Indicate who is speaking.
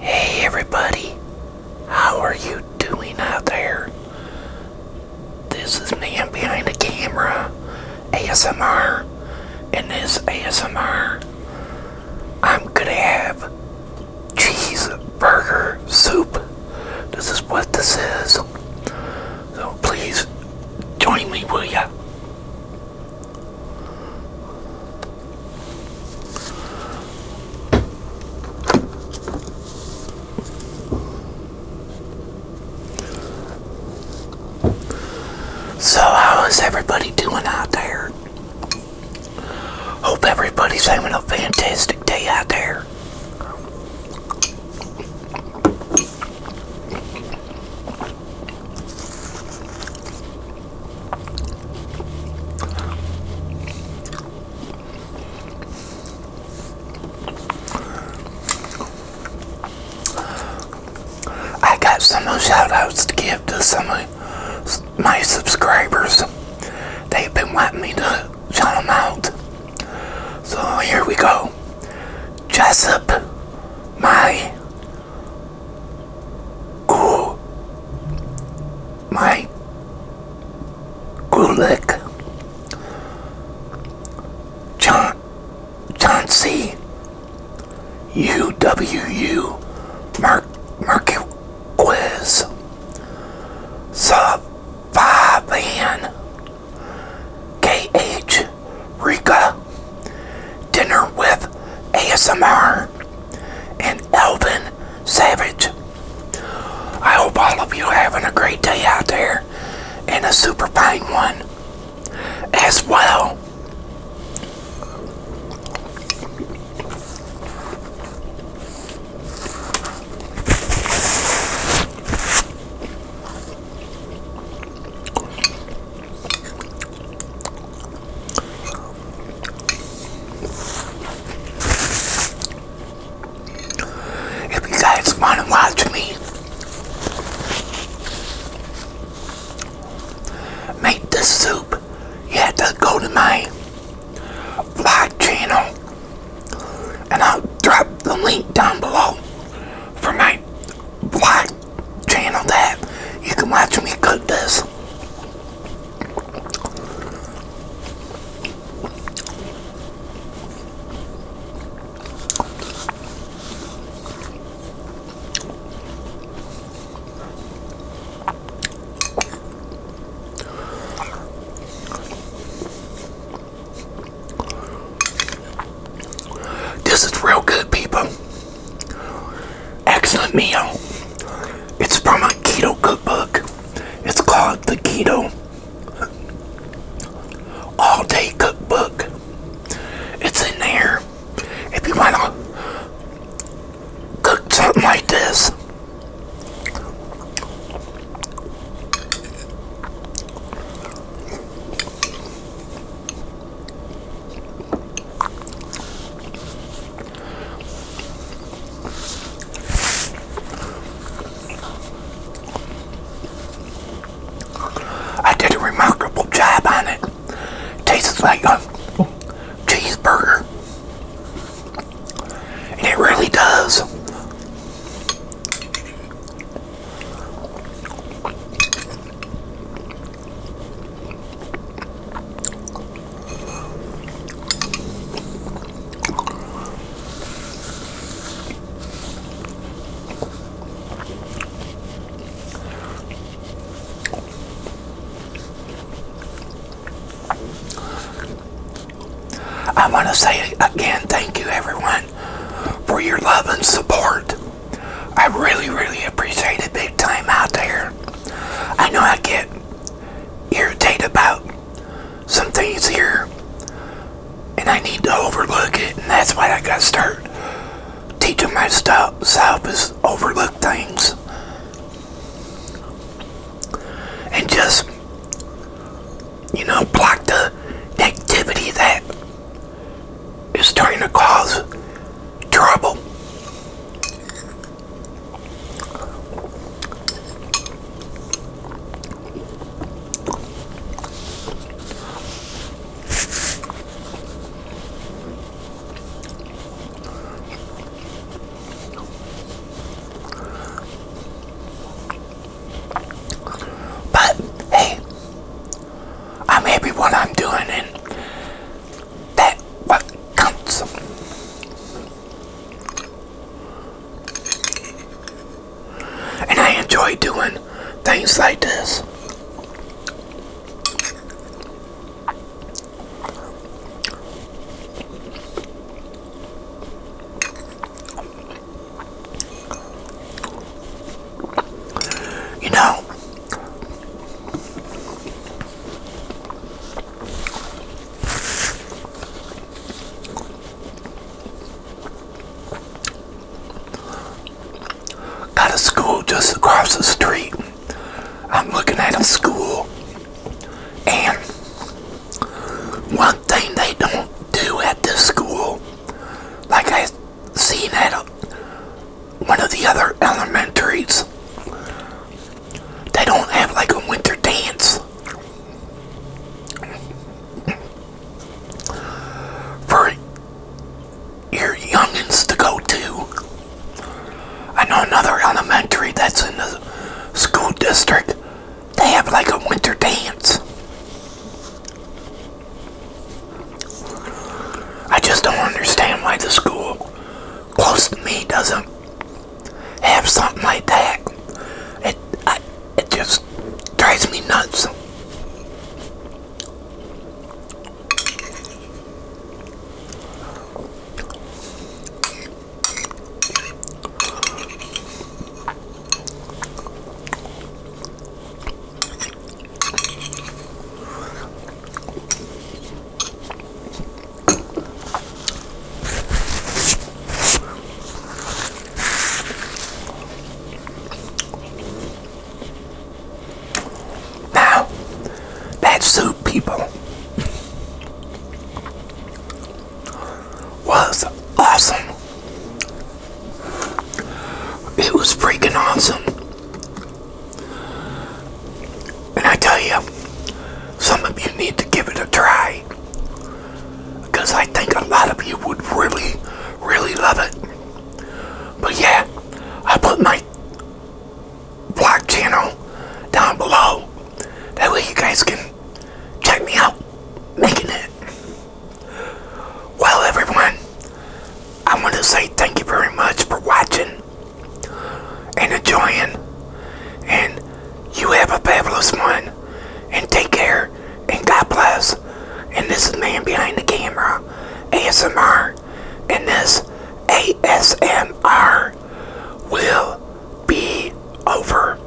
Speaker 1: Hey everybody, how are you doing out there? This is Man Behind the Camera ASMR, and this ASMR, I'm gonna have cheeseburger soup. This is what this is. So please join me, will ya? So, how is everybody doing out there? Hope everybody's having a fantastic day out there. I got some shout outs to give to some of my subscribers. They've been wanting me to shout them out. So here we go. Jessup, my Cool. My Gulick John John C U W U Mark Market Quiz Sub, Savavan K H Rika Dinner with ASMR and Elvin Savage. I hope all of you are having a great day out there and a super fine one as well. If you guys want to watch me make the soup, you have to go to my vlog channel and I'll drop the link down below for my vlog channel that, you can watch me cook this. This is real good, people excellent meal. It's from a keto cookbook. It's called the Keto All Day Cookbook. It's in there. If you want to cook something like this, I did a remarkable job on it. Tastes like a cheeseburger. And it really does. I want to say again, thank you everyone for your love and support. I really, really appreciate it big time out there. I know I get irritated about some things here and I need to overlook it and that's why I gotta start teaching myself is overlook things and just you know block the negativity that is starting to cause trouble. But hey, I'm happy what I'm doing and that what counts. And I enjoy doing things like this. You know, got a school just across the street. I'm looking at a school, and one thing they don't do at this school, like I seen at a, one of the other elementaries. They don't have like a winter dance. For your youngins to go to. I know another elementary that's in the school district. They have like a winter dance. I just don't understand why the school close to me doesn't have something like that. It, it just drives me nuts. Now, that soup, people, was awesome. It was freaking awesome. And I tell you, some of you need to give it a try. Because I think a lot of you would really, really love it. But yeah, I put my blog channel down below. That way you guys can check me out making it. Well, everyone, I want to say thank you very much for watching and enjoying. And you have a fabulous one. And take care. And God bless. And this is Man Behind the Camera, ASMR. And this ASMR will be over.